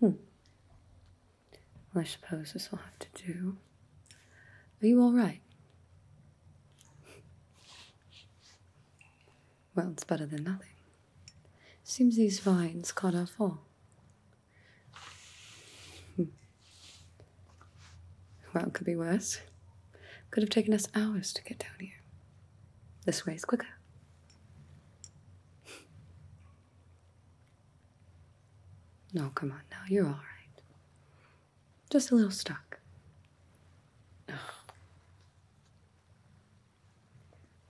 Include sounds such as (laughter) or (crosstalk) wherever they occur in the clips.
Hmm. I suppose this will have to do. Are you all right? well, it's better than nothing. Seems these vines caught our fall. Hmm. well, it could be worse. Could have taken us hours to get down here. This way is quicker. (laughs) No, come on now, you're all right. Just a little stuck.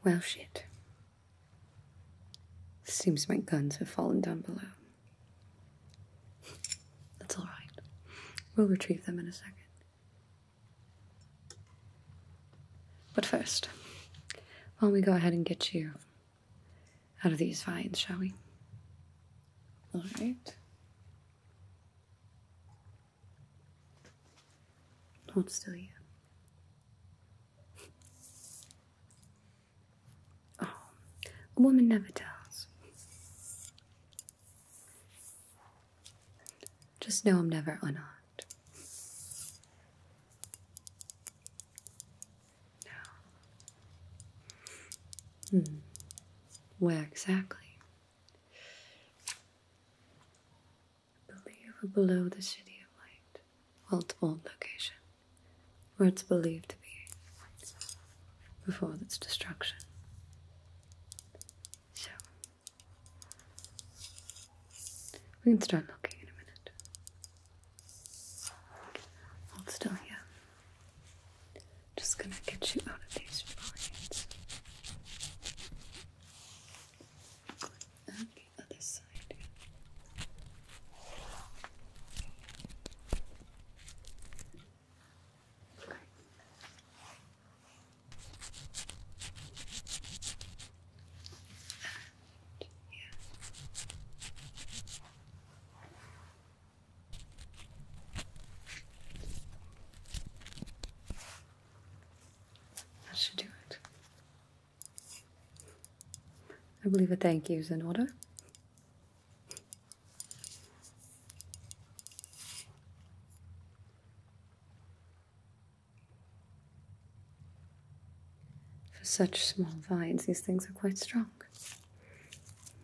Well, shit. Seems my guns have fallen down below. That's all right. We'll retrieve them in a second. But first, why not we go ahead and get you out of these vines, shall we? All right. Hold still here. Oh, a woman never tells. Just know I'm never unarmed. No. Hmm. Where exactly? I believe we're below the city of light. Well, it's old location. Where it's believed to be, before its destruction. So, we can start looking in a minute. Hold still here. Just gonna get you out of these points. And the other side. That should do it. I believe a thank you is in order. For such small vines, these things are quite strong.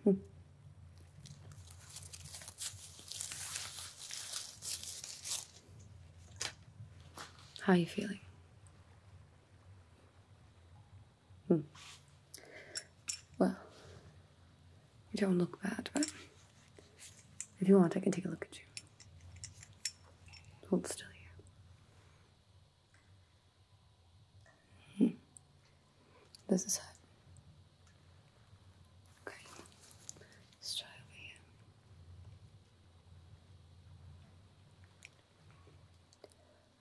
Hmm. How are you feeling? Hmm. Well, you don't look bad, but if you want, I can take a look at you. Hold still here. Hmm. This is hot.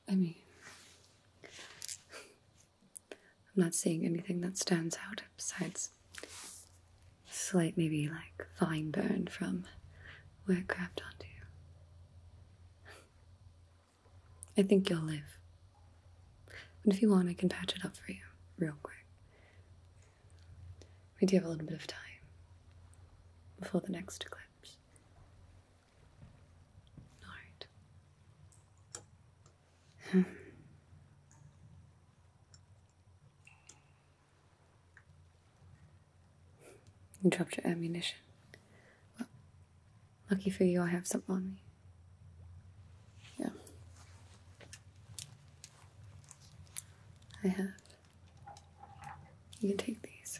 I mean, I'm not seeing anything that stands out besides slight, maybe like fine burn from where it grabbed onto you. I think you'll live. But if you want, I can patch it up for you real quick. We do have a little bit of time before the next eclipse. All right. Hmm. you dropped your ammunition. lucky for you, I have some on me. Yeah. I have. You can take these.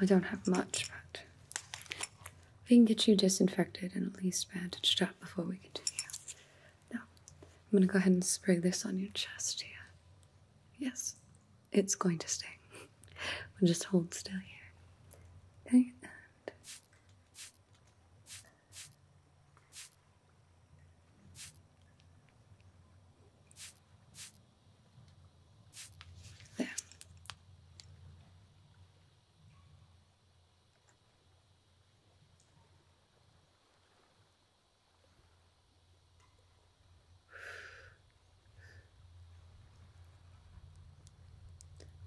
I don't have much, but we can get you disinfected and at least bandaged up before we continue. Now, I'm going to go ahead and spray this on your chest here. Yes, it's going to sting. (laughs) we just hold still here. Okay, there.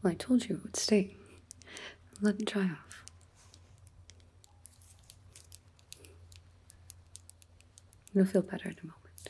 Well, I told you it would stay. Let it dry off. You'll feel better in a moment.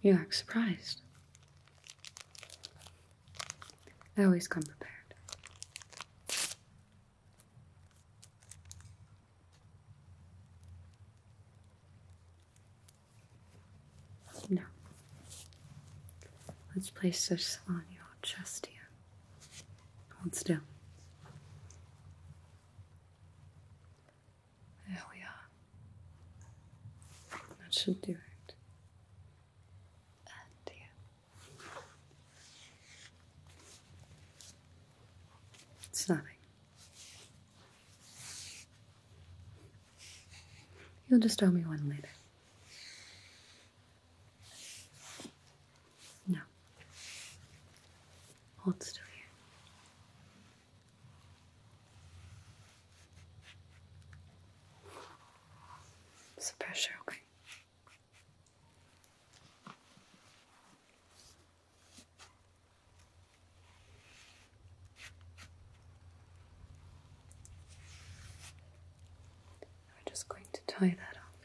You act surprised. I always come prepared. No. Let's place this on your chest here. Hold still. There we are. That should do it. And here. Stunning. You'll just owe me one later. No. Hold still here. It's the pressure, okay? I'm just going to tie that off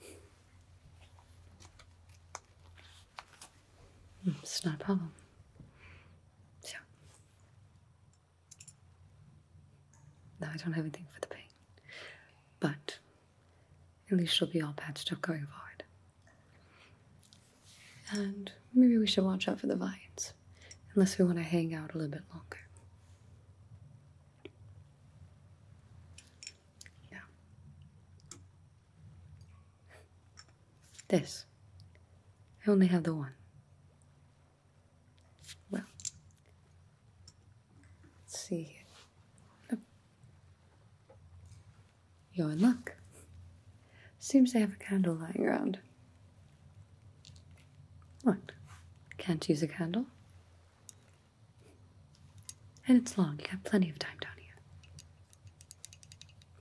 here. Hmm, it's not a problem. So now I don't have anything for the pain, but at least she'll be all patched up going forward. And maybe we should watch out for the vines, unless we want to hang out a little bit longer. Yeah. This. I only have the one. Well, let's see here. You're in luck. Seems they have a candle lying around. What? Can't use a candle? And it's long, you got plenty of time down here.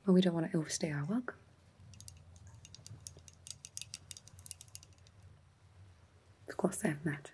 But we don't want to overstay our welcome. Of course, they have matches.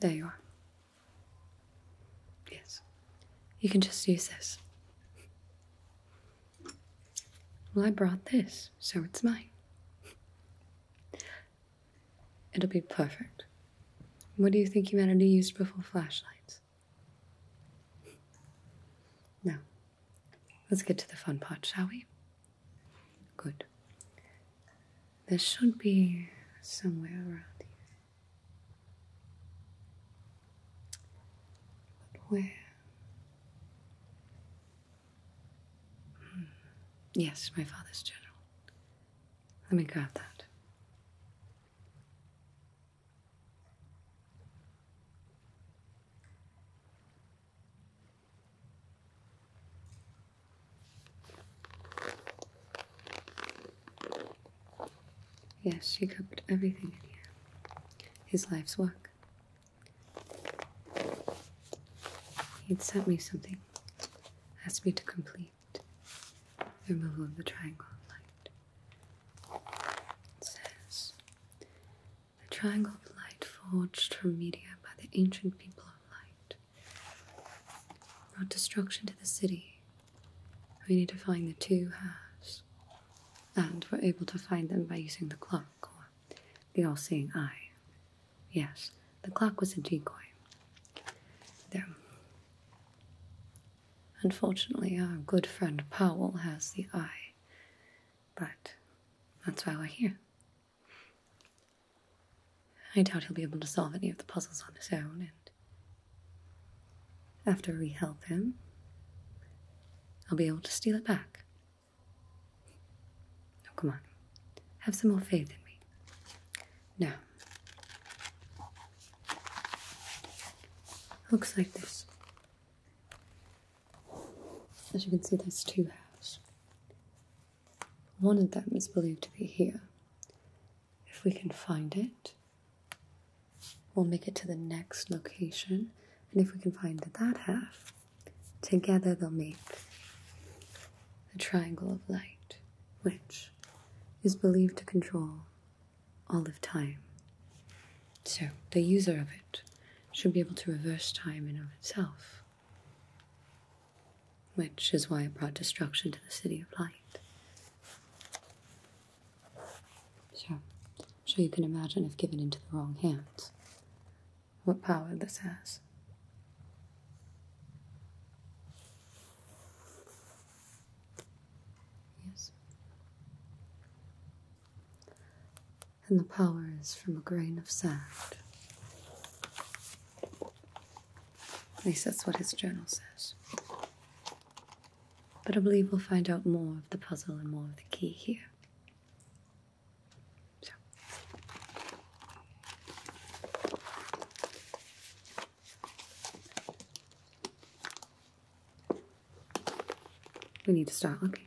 There you are. Yes. You can just use this. Well, I brought this, so it's mine. It'll be perfect. What do you think humanity used before flashlights? Now, let's get to the fun part, shall we? Good. This should be somewhere around here. But where? Hmm. Yes, my father's journal. Let me grab that. Yes, she covered everything in here. His life's work. He'd sent me something, asked me to complete the removal of the triangle of light. It says, the triangle of light forged from media by the ancient people of light, brought destruction to the city. We need to find the two halves, and we're able to find them by using the clock or the all seeing eye. Yes, the clock was a decoy. There. Unfortunately, our good friend Powell has the eye, but that's why we're here. I doubt he'll be able to solve any of the puzzles on his own, and after we help him, I'll be able to steal it back. No, oh, come on. Have some more faith in me. Now, looks like this. As you can see, there's two halves. One of them is believed to be here. If we can find it, we'll make it to the next location. And if we can find that half, together they'll make the triangle of light, which is believed to control all of time. So, the user of it should be able to reverse time in of itself. Which is why it brought destruction to the city of light. So, so you can imagine if given into the wrong hands, what power this has. Yes and the power is from a grain of sand. At least that's what his journal says. But I believe we'll find out more of the puzzle and more of the key here. So. We need to start looking.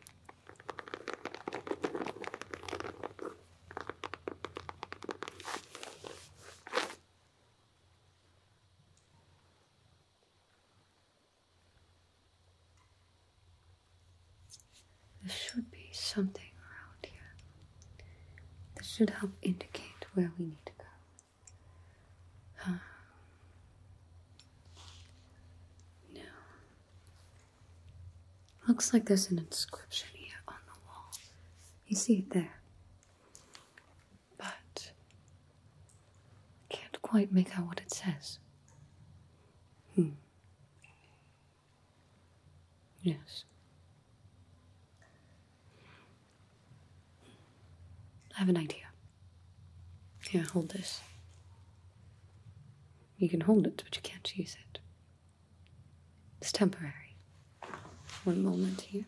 There should be something around here This should help indicate where we need to go. Um, no. Looks like there's an inscription here on the wall. You see it there. But can't quite make out what it says. Hmm. Yes. I have an idea. Here, hold this. You can hold it, but you can't use it. It's temporary. One moment here.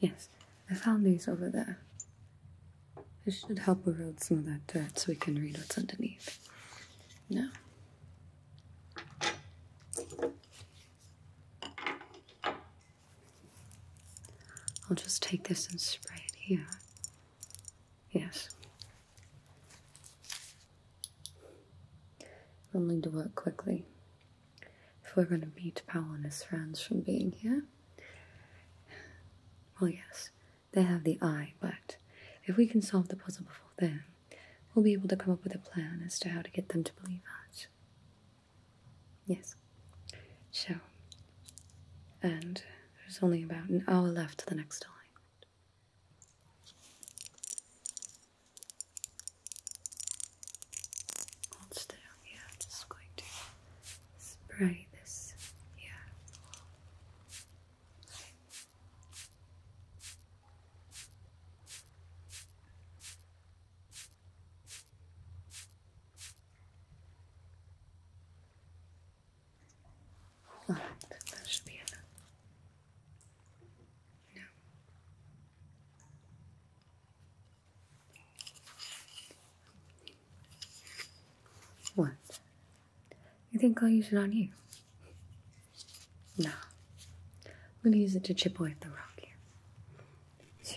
Yes, I found these over there. This should help erode some of that dirt so we can read what's underneath. No. I'll just take this and spray it here. Yes. We'll need to work quickly if we're going to beat Powell and his friends from being here. Well, yes, they have the eye, but if we can solve the puzzle before them, we'll be able to come up with a plan as to how to get them to believe us. Yes. So, and there's only about an hour left to the next time. Hold still, yeah, just going to spray this here. Okay. that should be enough. No. What you think I'll use it on you? No. I'm going to use it to chip away at the rock here. So.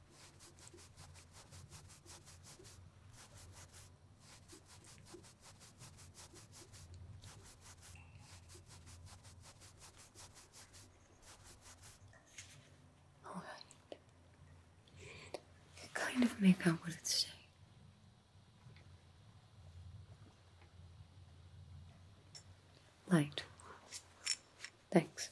All right. I kind of make out what it's saying. Light. Thanks.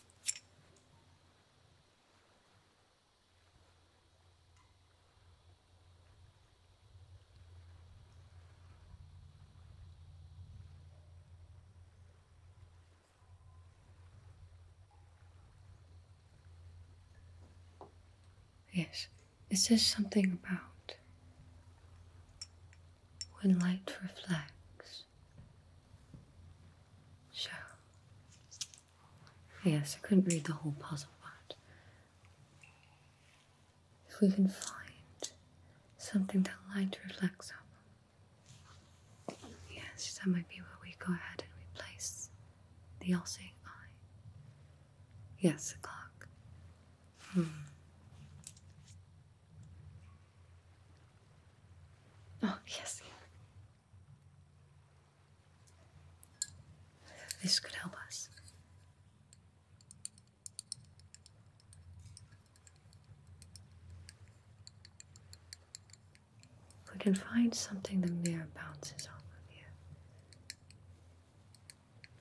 Yes, Is this something about when light reflects. So Yes, I couldn't read the whole puzzle but If we can find something that light reflects on. Yes, that might be where we go ahead and replace the all seeing eye. Yes, a clock. Hmm. Oh, yes. This could help us. We can find something the mirror bounces off of you.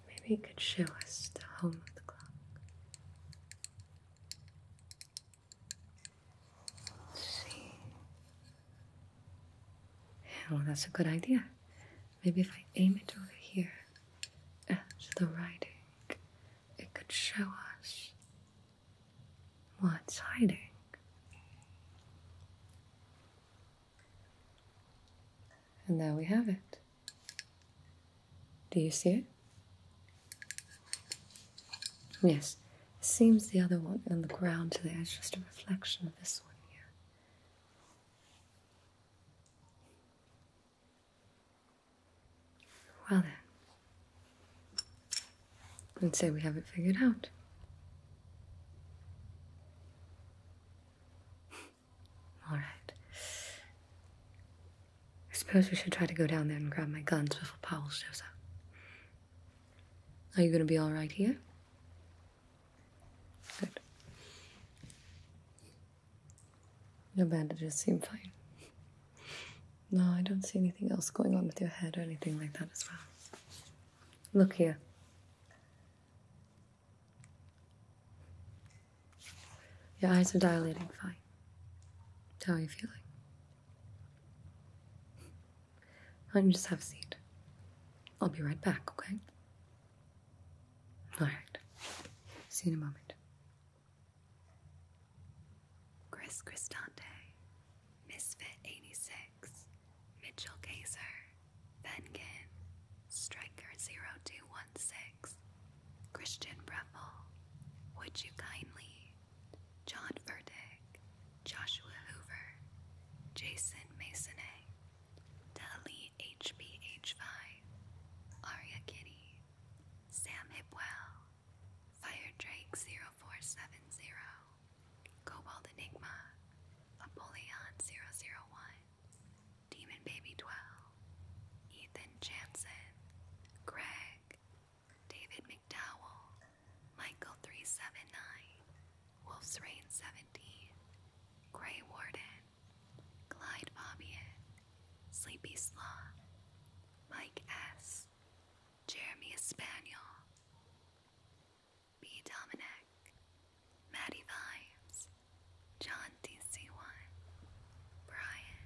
Maybe it could show us the home of the clock. Let's see. Well, oh, that's a good idea. Maybe if I aim it over here at uh, the writing, it could show us what's hiding. And there we have it. Do you see it? Yes, seems the other one on the ground today is just a reflection of this one here. Well then, let's say we have it figured out. All right. I suppose we should try to go down there and grab my guns before Powell shows up. Are you going to be all right here? Good. Your bandages seem fine. No, I don't see anything else going on with your head or anything like that as well. Look here. Your eyes are dilating fine. How are you feeling? Why just have a seat? I'll be right back, okay? Alright. See you in a moment. Chris Cristante, Misfit86, Mitchell Kaiser, Venkin, Striker0216, Christian Breffel, Would You Kindly, John Verdick, Joshua Hoover, Jason Masonay, Dali HBH5, Arya Kitty, Sam Hipwell, Fire Drake 0470, Cobalt Enigma, Apollyon 001, Demon Baby 12, Ethan Jansen, Greg, David McDowell, Michael 379, Wolf's Rain 17, Grey Warden, Clyde Fabian, Sleepy Slaw, Mike S., Jeremy Espaniel, B. Dominic, Maddie Vibes, John DC1, Brian.